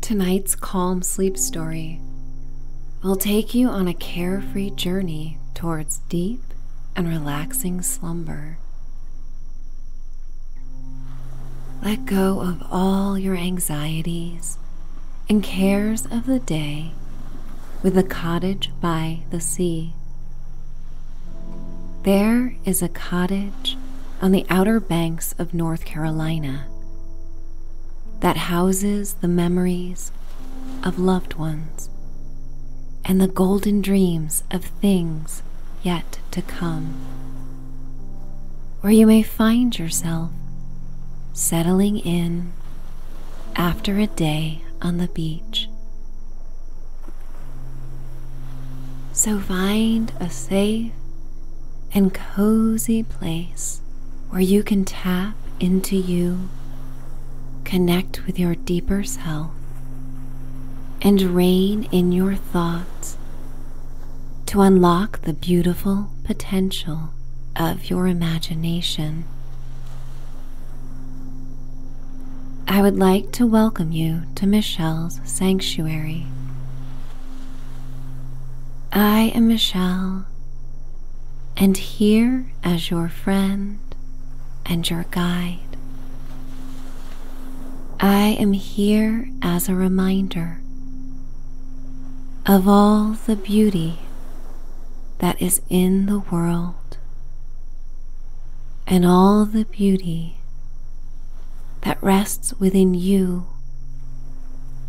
Tonight's calm sleep story will take you on a carefree journey towards deep and relaxing slumber. Let go of all your anxieties and cares of the day with the cottage by the sea. There is a cottage on the outer banks of North Carolina that houses the memories of loved ones and the golden dreams of things yet to come, where you may find yourself settling in after a day on the beach. So find a safe and cozy place where you can tap into you, connect with your deeper self, and reign in your thoughts to unlock the beautiful potential of your imagination. I would like to welcome you to Michelle's Sanctuary, I am Michelle, and here as your friend and your guide. I am here as a reminder of all the beauty that is in the world and all the beauty that rests within you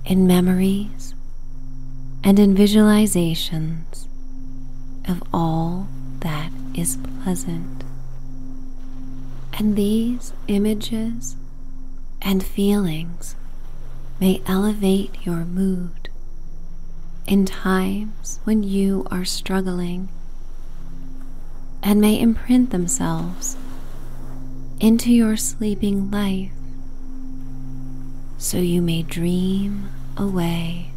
in memories and in visualizations of all that is pleasant. And these images and feelings may elevate your mood in times when you are struggling and may imprint themselves into your sleeping life so you may dream away.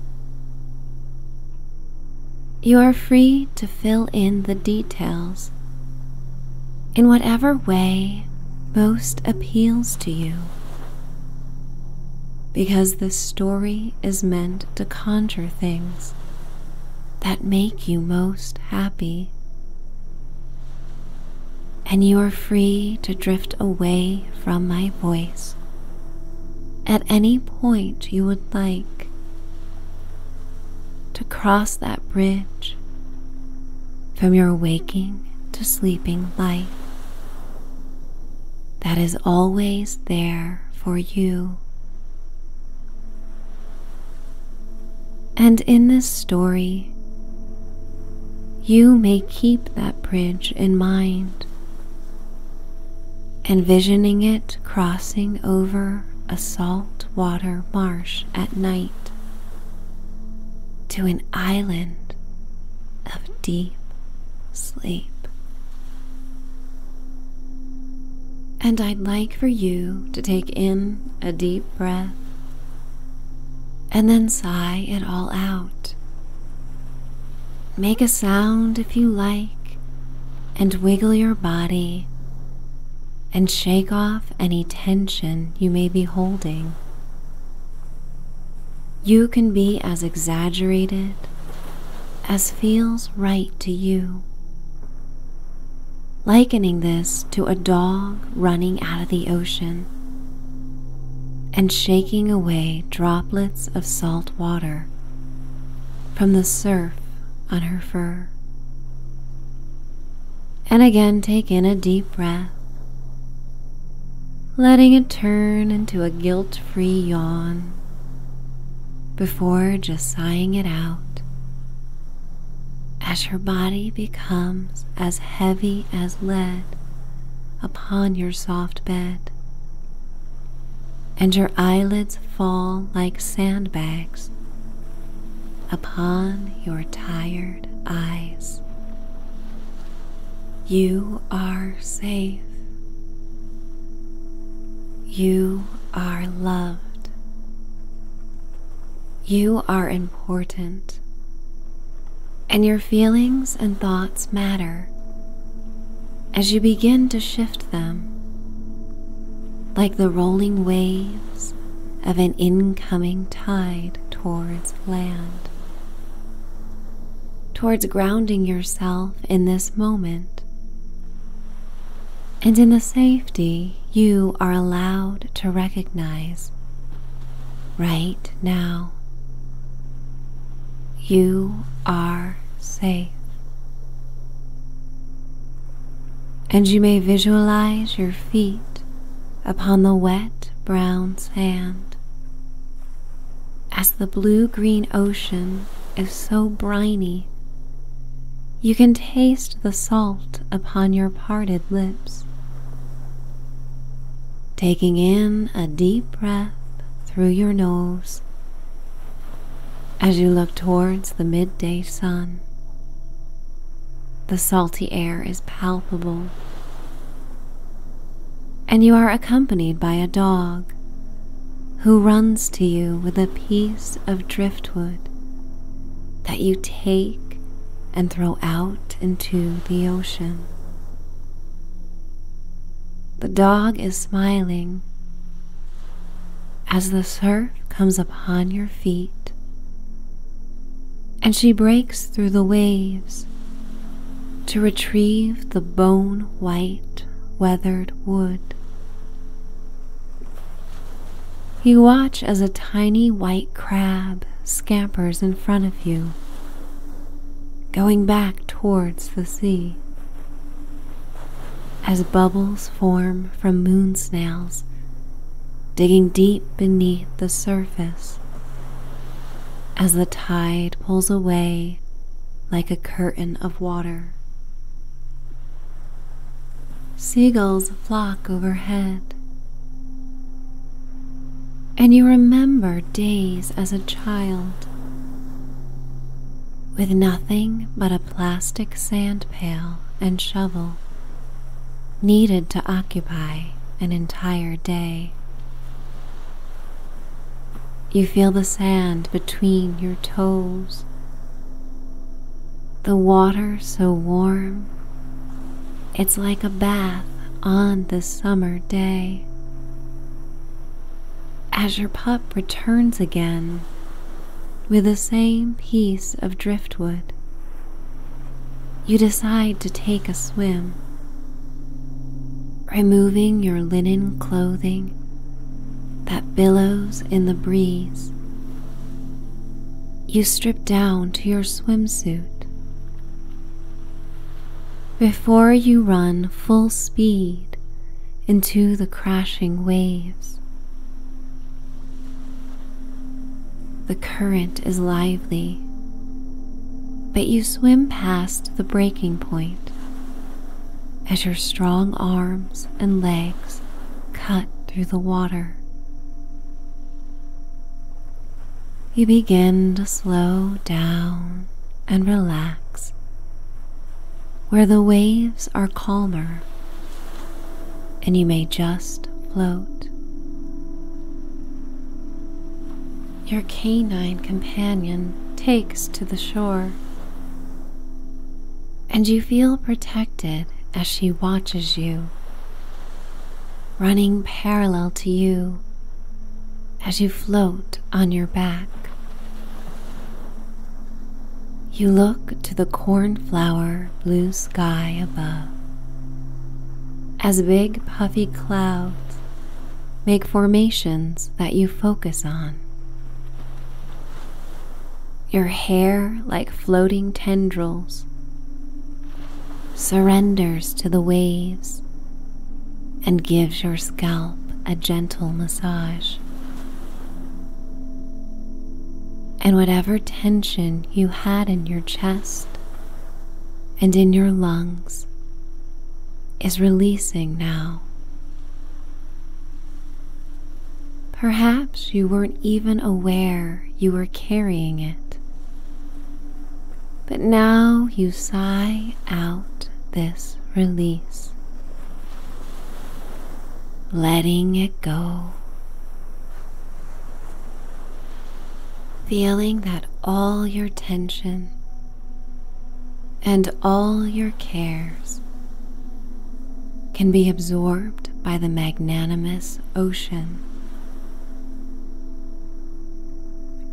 You are free to fill in the details in whatever way most appeals to you because the story is meant to conjure things that make you most happy. And you are free to drift away from my voice at any point you would like to cross that bridge from your waking to sleeping life that is always there for you. And in this story, you may keep that bridge in mind, envisioning it crossing over a salt water marsh at night to an island of deep sleep. And I'd like for you to take in a deep breath and then sigh it all out. Make a sound if you like and wiggle your body and shake off any tension you may be holding. You can be as exaggerated as feels right to you likening this to a dog running out of the ocean and shaking away droplets of salt water from the surf on her fur. And again, take in a deep breath, letting it turn into a guilt free yawn before just sighing it out as your body becomes as heavy as lead upon your soft bed, and your eyelids fall like sandbags upon your tired eyes. You are safe. You are loved. You are important, and your feelings and thoughts matter as you begin to shift them like the rolling waves of an incoming tide towards land, towards grounding yourself in this moment and in the safety you are allowed to recognize right now. You are safe. And you may visualize your feet upon the wet brown sand as the blue green ocean so briny. You can taste the salt upon your parted lips. Taking in a deep breath through your nose as you look towards the midday sun. The salty air is palpable, and you are accompanied by a dog who runs to you with a piece of driftwood that you take and throw out into the ocean. The dog is smiling as the surf comes upon your feet and she breaks through the waves to retrieve the bone white weathered wood. You watch as a tiny white crab scampers in front of you, going back towards the sea. As bubbles form from moon snails, digging deep beneath the surface, as the tide pulls away like a curtain of water. Seagulls flock overhead. And you remember days as a child with nothing but a plastic sand pail and shovel needed to occupy an entire day. You feel the sand between your toes the water so warm, it's like a bath on the summer day. As your pup returns again with the same piece of driftwood, you decide to take a swim. Removing your linen clothing that billows in the breeze. You strip down to your swimsuit. Before you run full speed into the crashing waves, the current is lively, but you swim past the breaking point as your strong arms and legs cut through the water. You begin to slow down and relax where the waves are calmer and you may just float. Your canine companion takes to the shore and you feel protected as she watches you, running parallel to you as you float on your back. You look to the cornflower blue sky above as big puffy clouds make formations that you focus on your hair like floating tendrils surrenders to the waves and gives your scalp a gentle massage. And whatever tension you had in your chest and in your lungs is releasing now. Perhaps you weren't even aware you were carrying it. But now you sigh out this release, letting it go. Feeling that all your tension and all your cares can be absorbed by the magnanimous ocean.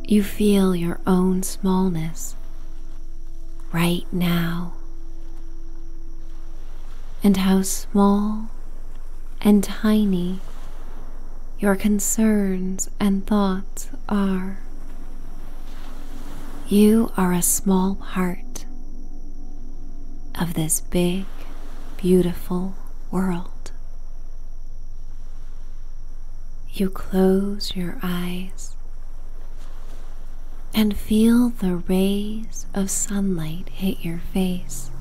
You feel your own smallness right now, and how small and tiny your concerns and thoughts are. You are a small part of this big, beautiful world. You close your eyes and feel the rays of sunlight hit your face,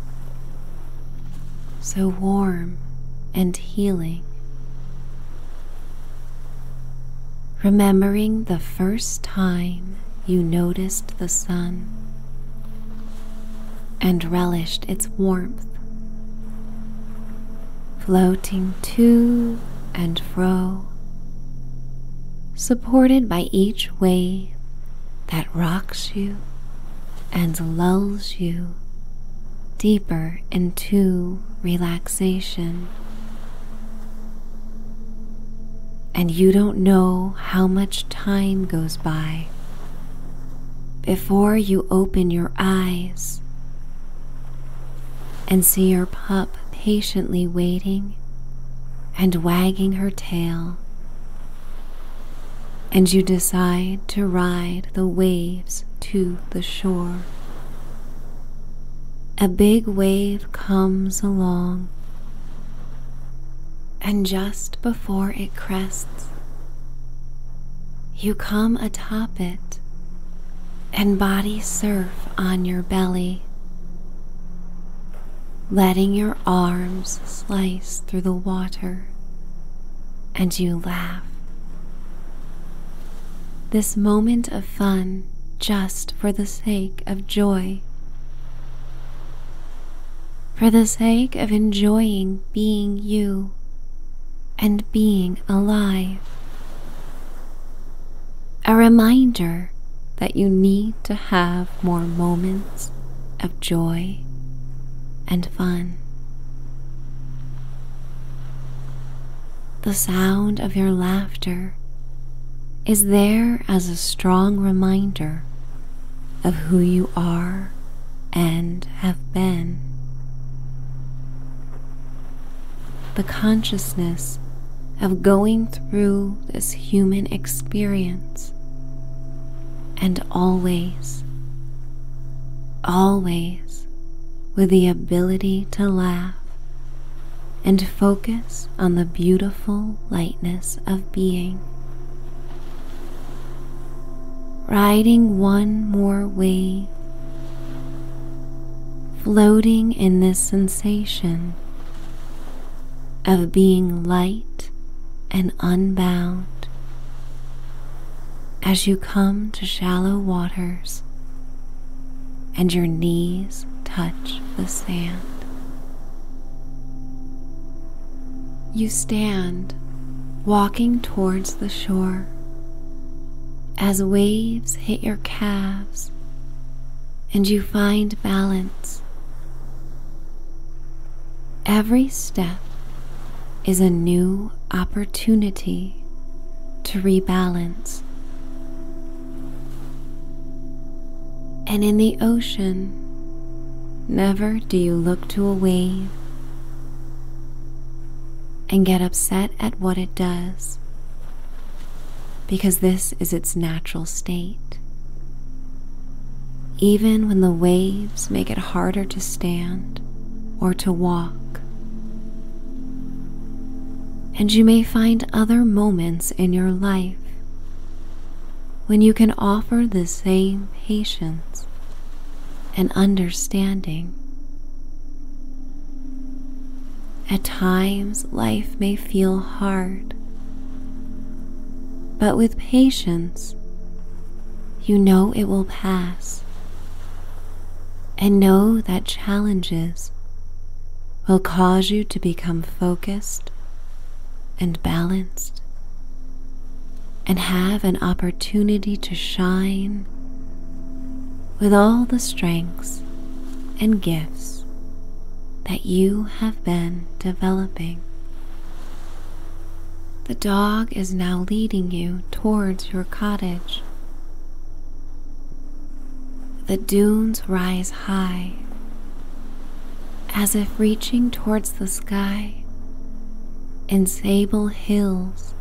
so warm and healing. Remembering the first time you noticed the sun and relished its warmth, floating to and fro, supported by each wave that rocks you and lulls you deeper into relaxation and you don't know how much time goes by before you open your eyes and see your pup patiently waiting and wagging her tail. And you decide to ride the waves to the shore. A big wave wave comes along, and just before it crests, you come atop it and body surf on your belly, letting your arms slice through the water, and you laugh. This moment of fun just for the sake of joy. For the sake of enjoying being you and being alive. A reminder that you need to have more moments of joy and fun. The sound of your laughter is there as a strong reminder of who you are and have been. The consciousness of going through this human experience and always, always with the ability to laugh and focus on the beautiful lightness of being. Riding one more wave, floating in this sensation of being light and unbound as you come to shallow waters and your knees touch the sand. You stand walking towards the shore as waves hit your calves and you find balance. Every step is a new opportunity to rebalance and in the ocean, never do you look to a wave and get upset at what it does, because this is its natural state. Even when the waves make it harder to stand or to walk. And you may find other moments in your life when you can offer the same patience and understanding. At times, life may feel hard, but with patience, you know it will pass and know that challenges will cause you to be become focused and balanced and have an opportunity to shine with all the strengths and gifts that you have been developing. The dog is now leading you towards your cottage. The dunes rise high, as if reaching towards the sky in sable hills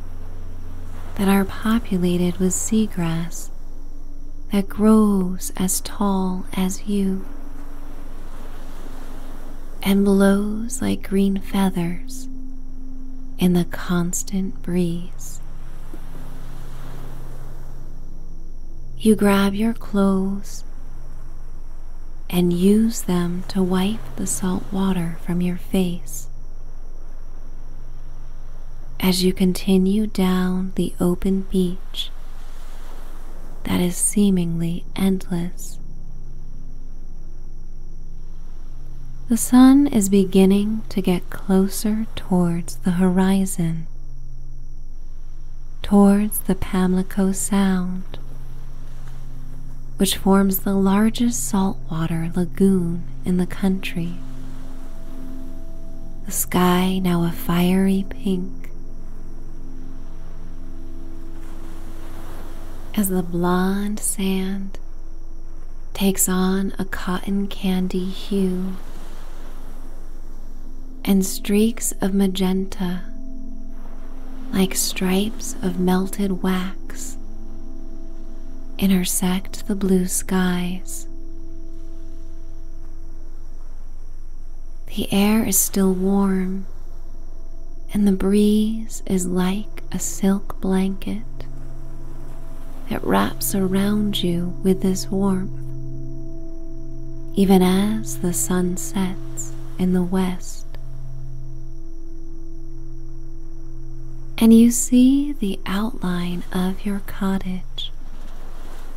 that are populated with seagrass that grows as tall as you and blows like green feathers in the constant breeze. You grab your clothes and use them to wipe the salt water from your face. As you continue down the open beach that is seemingly endless, the sun is beginning to get closer towards the horizon, towards the Pamlico Sound, which forms the largest saltwater lagoon in the country. The sky now a fiery pink. As the blond sand takes on a cotton candy hue, and streaks of magenta, like stripes of melted wax, intersect the blue skies. The air is still warm, and the breeze is like a silk blanket that wraps around you with its warmth even as the sun sets in the west. And you see the outline of your cottage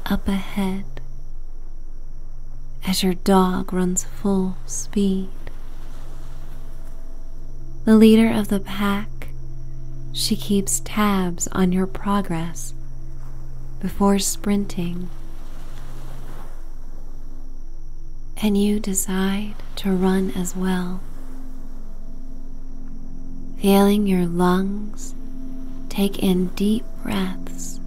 up ahead as your dog runs full speed. The leader of the pack, she keeps tabs on your progress before sprinting, and you decide to run as well, feeling your lungs take in deep breaths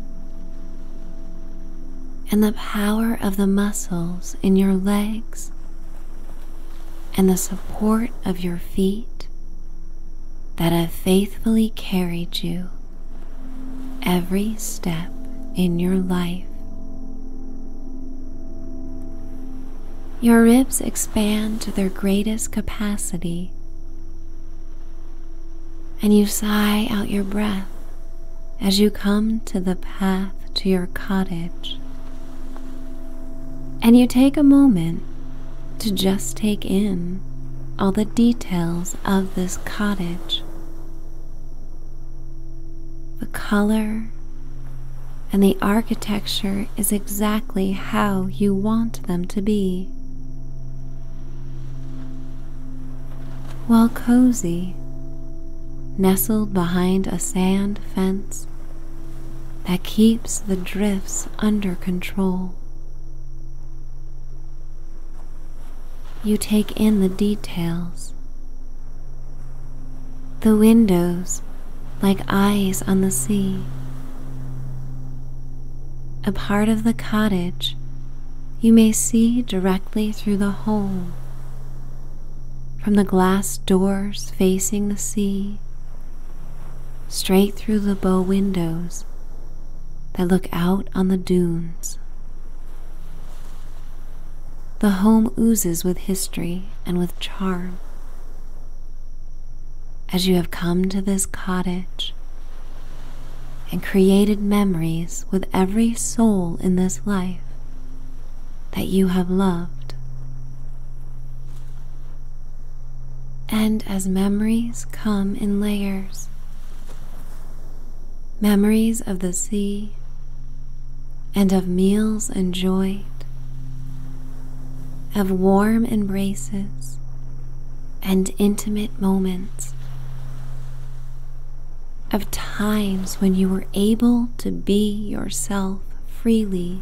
and the power of the muscles in your legs and the support of your feet that have faced faithfully carried you every step in your life. Your ribs expand to their greatest capacity, and you sigh out your breath as you come to the path to your cottage. And you take a moment to just take in all the details of this cottage the color and the architecture is exactly how you want them to be. While cozy, nestled behind a sand fence that keeps the drifts under control. You take in the details. The windows, like eyes on the sea. A part of the cottage you may see directly through the hole. From the glass doors facing the sea straight through the bow windows that look out on the dunes. The home oozes with history and with charm. As you have come to this cottage and created memories with every soul in this life that you have loved, and as memories come in layers. Memories of the sea and of meals enjoyed, of warm embraces and intimate moments, of times when you were able to be yourself freely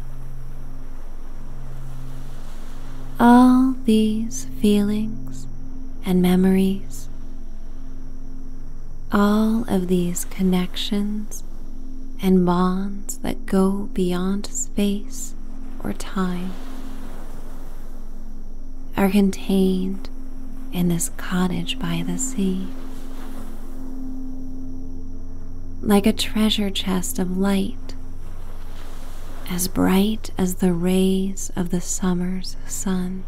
all these feelings and memories, all of these connections and bonds that go beyond space or time are contained in this cottage by the sea. Like a treasure chest of light as bright as the rays of the summer's sun.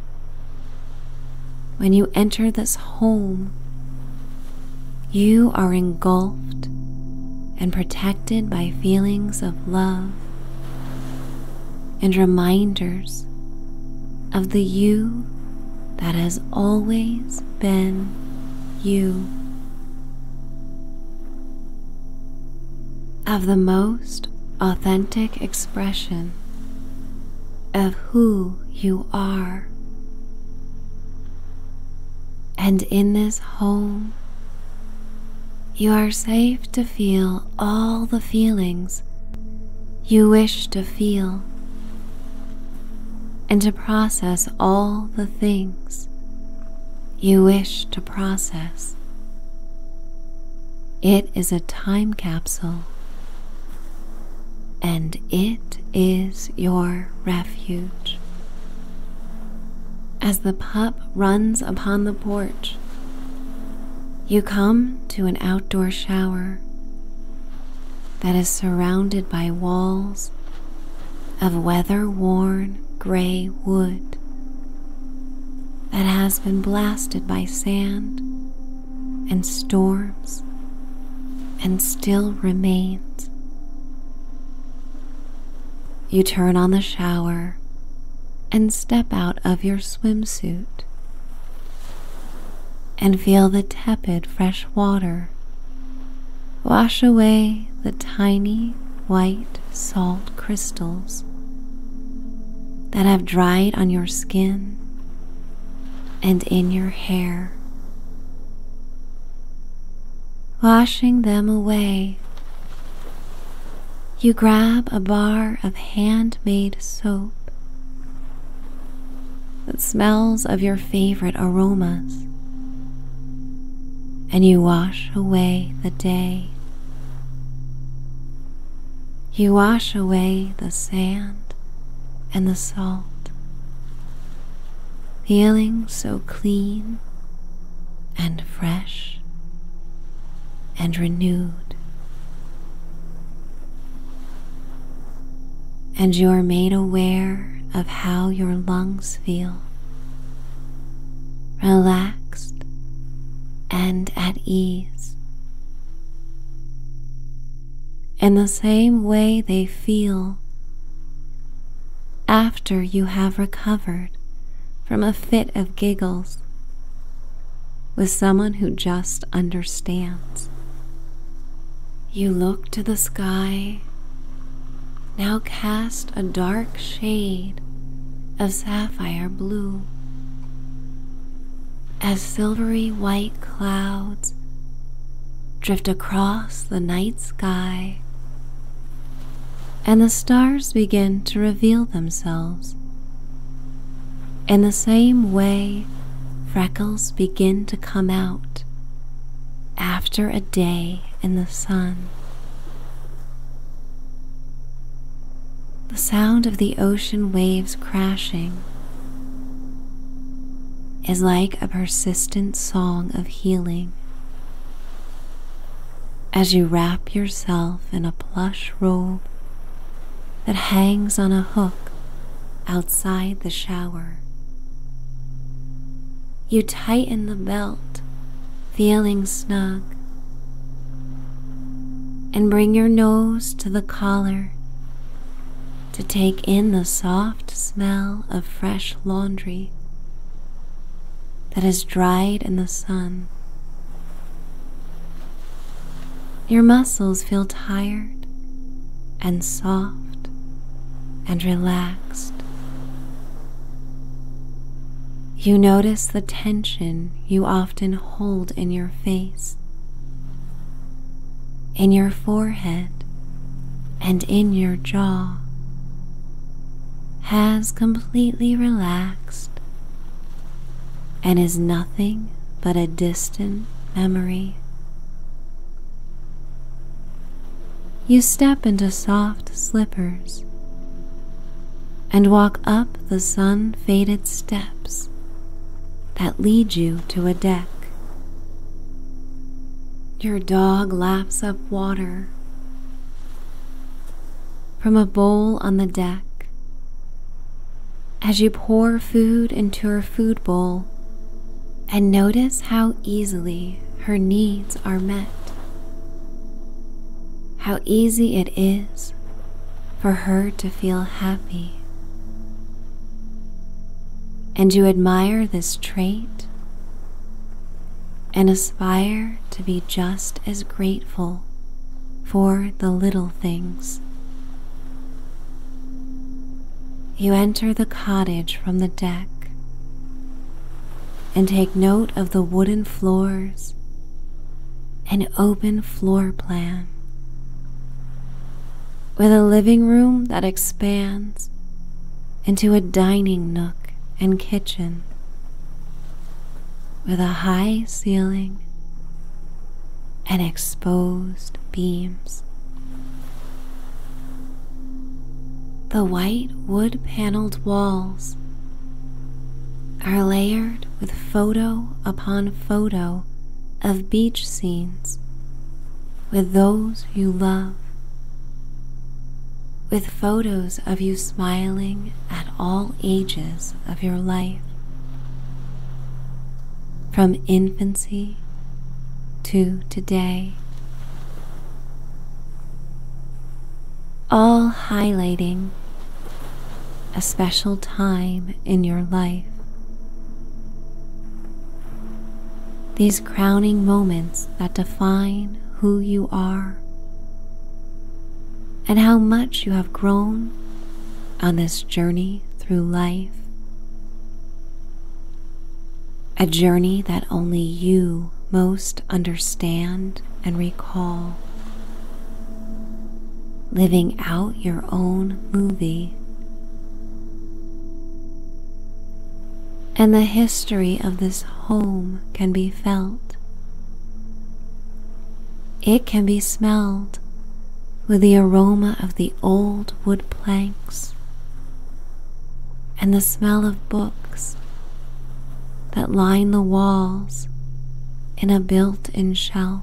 When you enter this home, you are engulfed and protected by feelings of love and reminders of the you that has always been you of the most authentic expression of who you are. And in this home, you are safe to feel all the feelings you wish to feel and to process all the things you wish to process. It is a time capsule and it is your refuge. As the pup runs upon the porch, you come to an outdoor shower that is surrounded by walls of weather worn gray wood that has been blasted by sand and storms and still remains. You turn on the shower and step out of your swimsuit and feel the tepid fresh water wash away the tiny white salt crystals that have dried on your skin and in your hair, washing them away. You grab a bar of handmade soap that smells of your favorite aromas and you wash away the day. You wash away the sand and the salt, feeling so clean and fresh and renewed. And you are made aware of how your lungs feel relaxed, and at ease. In the same way they feel after you have recovered from a fit of giggles with someone who just understands. You look to the sky now cast a dark shade of sapphire blue as silvery white clouds drift across the night sky and the stars begin to reveal themselves. In the same way, freckles begin to come out after a day in the sun. The sound of the ocean waves crashing is like a persistent song of healing. As you wrap yourself in a plush robe that hangs on a hook outside the shower, you tighten the belt, feeling snug, and bring your nose to the collar to take in the soft smell of fresh laundry that has dried in the sun. Your muscles feel tired and soft and relaxed you notice the tension you often hold in your face, in your forehead, and in your jaw has completely relaxed and is nothing but a distant memory. You step into soft slippers and walk up the sun faded steps that lead you to a deck. Your dog laps up water from a bowl on the deck as you pour food into her food bowl and notice how easily her needs are met. How easy it is for her to feel happy. And you admire this trait and aspire to be just as grateful for the little things. You enter the cottage from the deck and take note of the wooden floors and open floor plan. With a living room that expands into a dining nook and kitchen with a high ceiling and exposed beams. The white wood paneled walls are layered with photo upon photo of beach scenes with those you love, with photos of you smiling at all ages of your life, from infancy to today all highlighting a special time in your life. These crowning moments that define who you are and how much you have grown on this journey through life a journey that only you most understand and recall. Living out your own movie. And the history of this home can be felt. It can be smelled with the aroma of the old wood planks and the smell of books that line the walls in a built in shelf.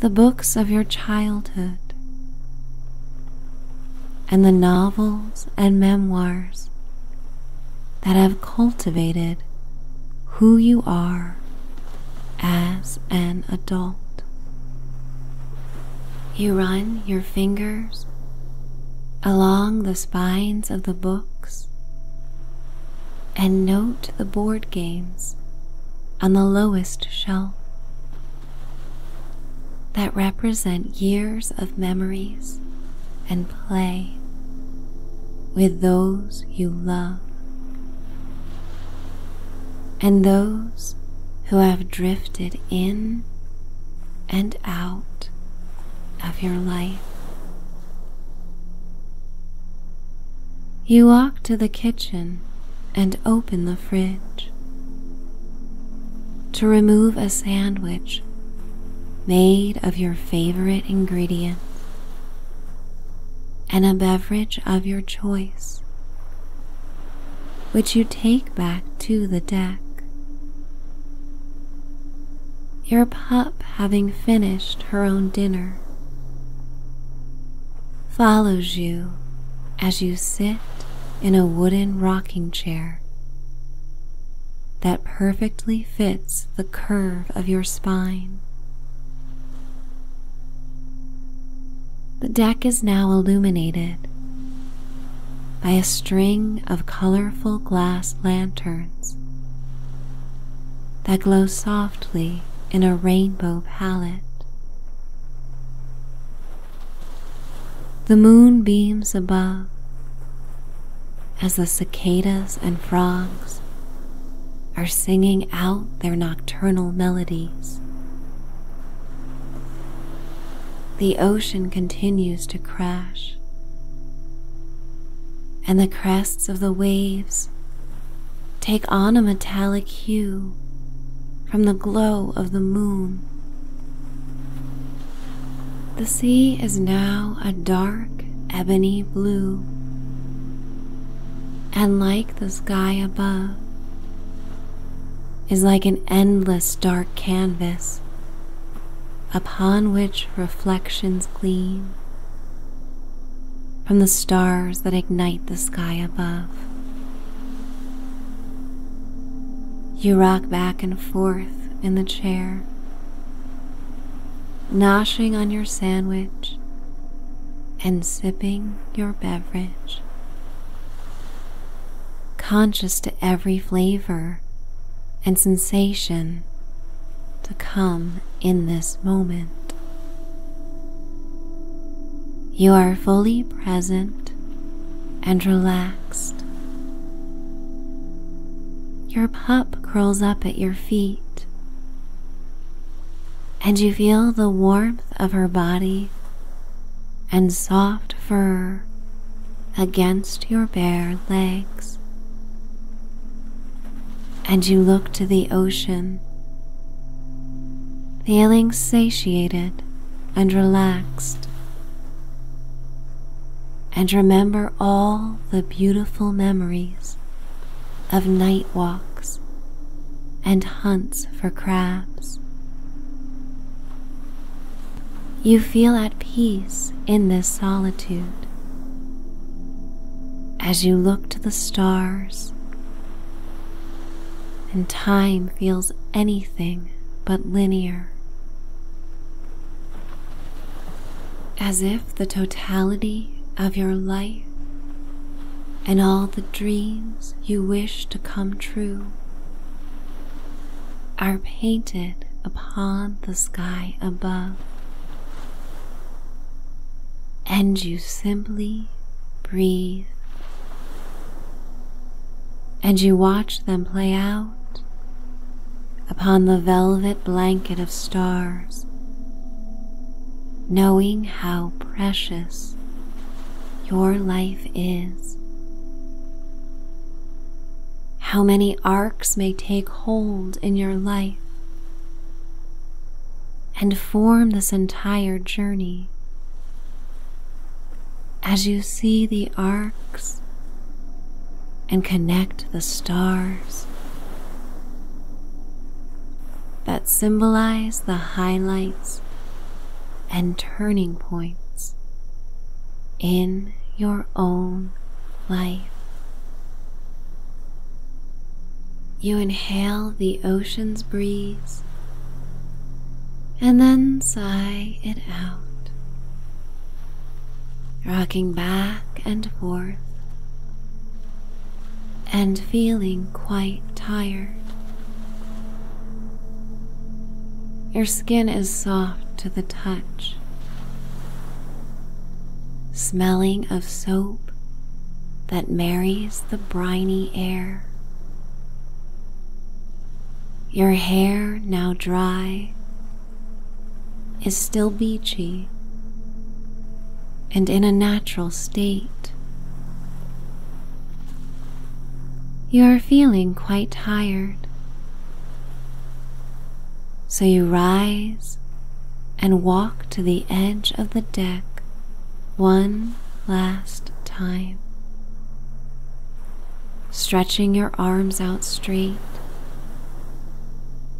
The books of your childhood and the novels and memoirs that have cultivated who you are as an adult. You run your fingers along the spines of the books and note the board games on the lowest shelf that represent years of memories and play with those you love and those who have drifted in and out of your life. You walk to the kitchen and open the fridge. To remove a sandwich made of your favorite ingredients and a beverage of your choice, which you take back to the deck. Your pup, having finished her own dinner, follows you as you sit in a wooden rocking chair that perfectly fits the curve of your spine. The deck is now illuminated by a string of colorful glass lanterns that glow softly in a rainbow palette. The moon beams above as the cicadas and frogs are singing out their nocturnal melodies. The ocean continues to crash, and the crests of the waves take on a metallic hue from the glow of the moon. The sea is now a dark ebony blue, and like the sky above, is like an endless dark canvas upon which reflections gleam from the stars that ignite the sky above. You rock back and forth in the chair, noshing on your sandwich and sipping your beverage conscious to every flavor and sensation to come in this moment. You are fully present and relaxed. Your pup curls up at your feet, and you feel the warmth of her body and soft fur against your bare legs. And you look to the ocean, feeling satiated and relaxed. And remember all the beautiful memories of night walks and hunts for crabs. You feel at peace in this solitude. As you look to the stars, and time feels anything but linear. As if the totality of your life and all the dreams you wish to come true are painted upon the sky above, and you simply breathe and you watch them play out upon the velvet blanket of stars, knowing how precious your life is, how many arcs may take hold in your life and form this entire journey. As you see the arcs and connect the stars that symbolize the highlights and turning points in your own life. You inhale the ocean's breeze and then sigh it out, rocking back and forth and feeling quite tired. Your skin is soft to the touch, smelling of soap that marries the briny air. Your hair, now dry, is still beachy and in a natural state. You are feeling quite tired. So you rise and walk to the edge of the deck one last time, stretching your arms out straight.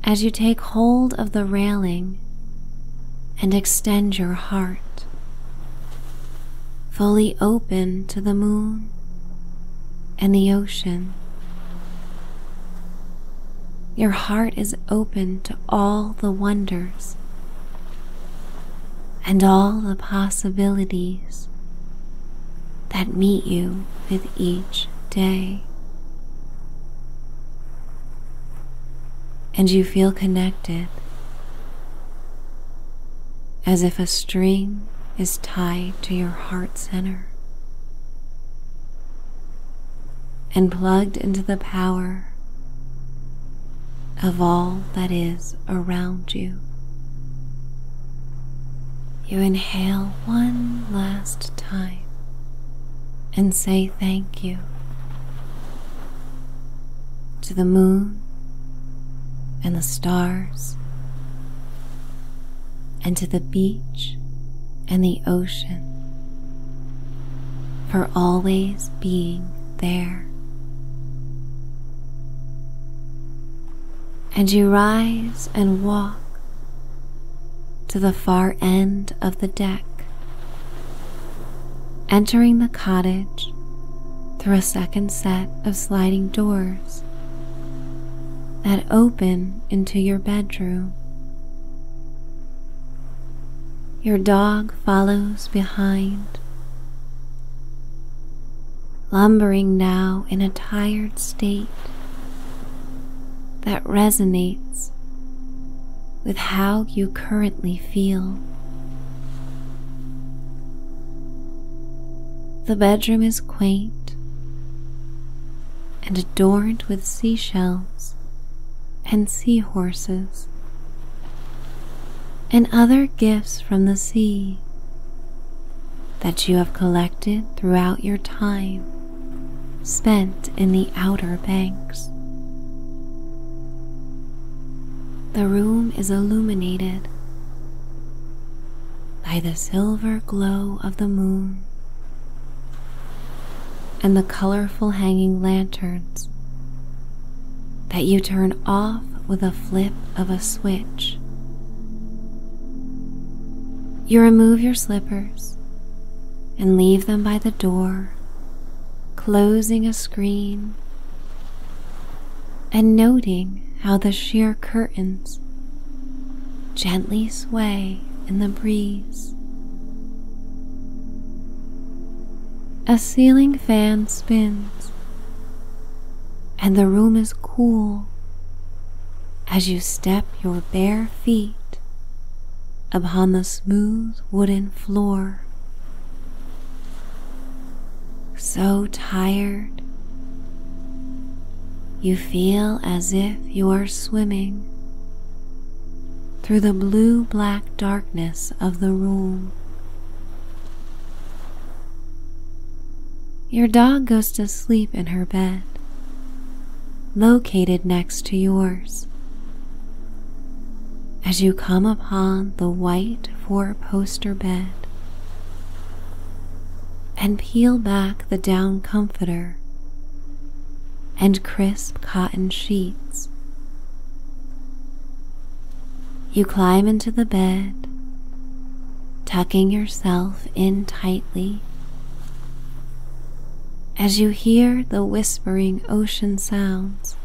As you take hold of the railing and extend your heart, fully open to the moon and the ocean. Your heart is open to all the wonders and all the possibilities that meet you with each day. And you feel connected as if a string is tied to your heart center and plugged into the power of all that is around you. You inhale one last time and say thank you to the moon and the stars, and to the beach and the ocean for always being there. And you rise and walk to the far end of the deck, entering the cottage through a second set of sliding doors that open into your bedroom. Your dog follows behind, lumbering now in a tired state that resonates with how you currently feel. The bedroom is quaint and adorned with seashells and sea horses, and other gifts from the sea that you have collected throughout your time spent in the outer banks. The room is illuminated by the silver glow of the moon and the colorful hanging lanterns that you turn off with a flip of a switch. You remove your slippers and leave them by the door, closing a screen and noting how the sheer curtains gently sway in the breeze. A ceiling fan spins, and the room is cool as you step your bare feet upon the smooth wooden floor so tired. You feel as if you are swimming through the blue black darkness of the room. Your dog goes to sleep in her bed, located next to yours as you come upon the white four poster bed and peel back the down comforter and crisp cotton sheets. You climb into the bed, tucking yourself in tightly. As you hear the whispering ocean sounds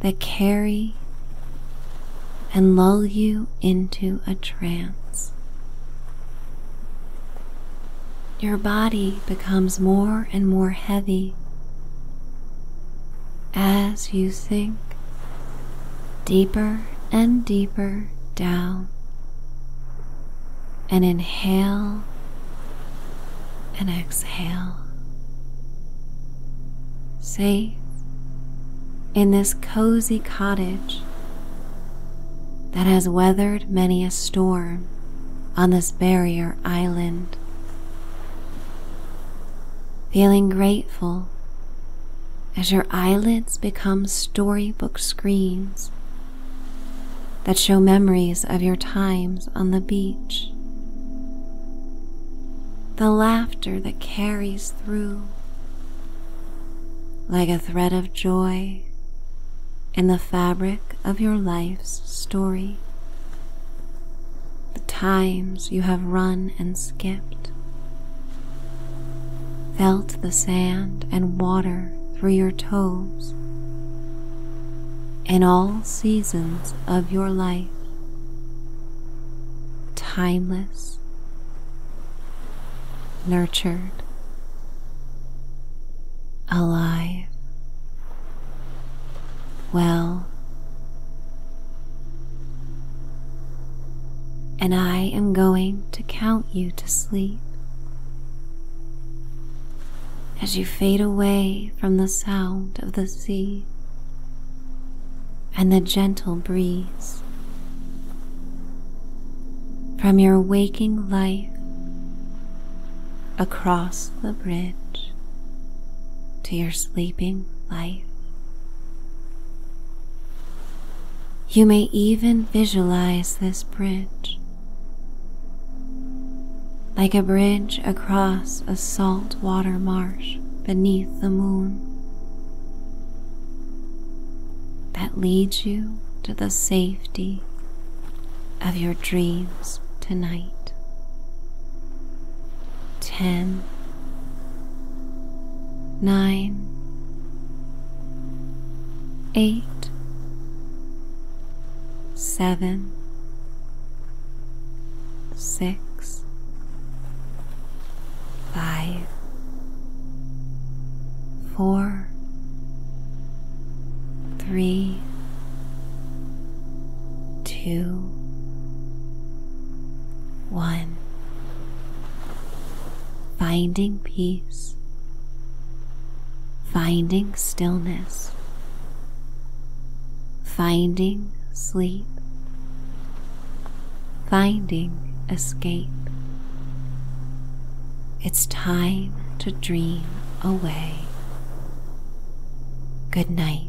that carry and lull you into a trance. Your body becomes more and more heavy as you sink deeper and deeper down and inhale and exhale. Safe in this cozy cottage that has weathered many a storm on this barrier island. Feeling grateful as your eyelids become storybook screens that show memories of your times on the beach the laughter that carries through like a thread of joy in the fabric of your life's story. The times you have run and skipped, felt the sand and water through your toes in all seasons of your life timeless, nurtured, alive, well. And I am going to count you to sleep as you fade away from the sound of the sea and the gentle breeze. From your waking life across the bridge to your sleeping life. You may even visualize this bridge like a bridge across a salt water marsh beneath the moon, that leads you to the safety of your dreams tonight. Ten, nine, eight, seven six, five, four, three, two, one. Finding peace, finding stillness, finding sleep, finding escape. It's time to dream away. Good night.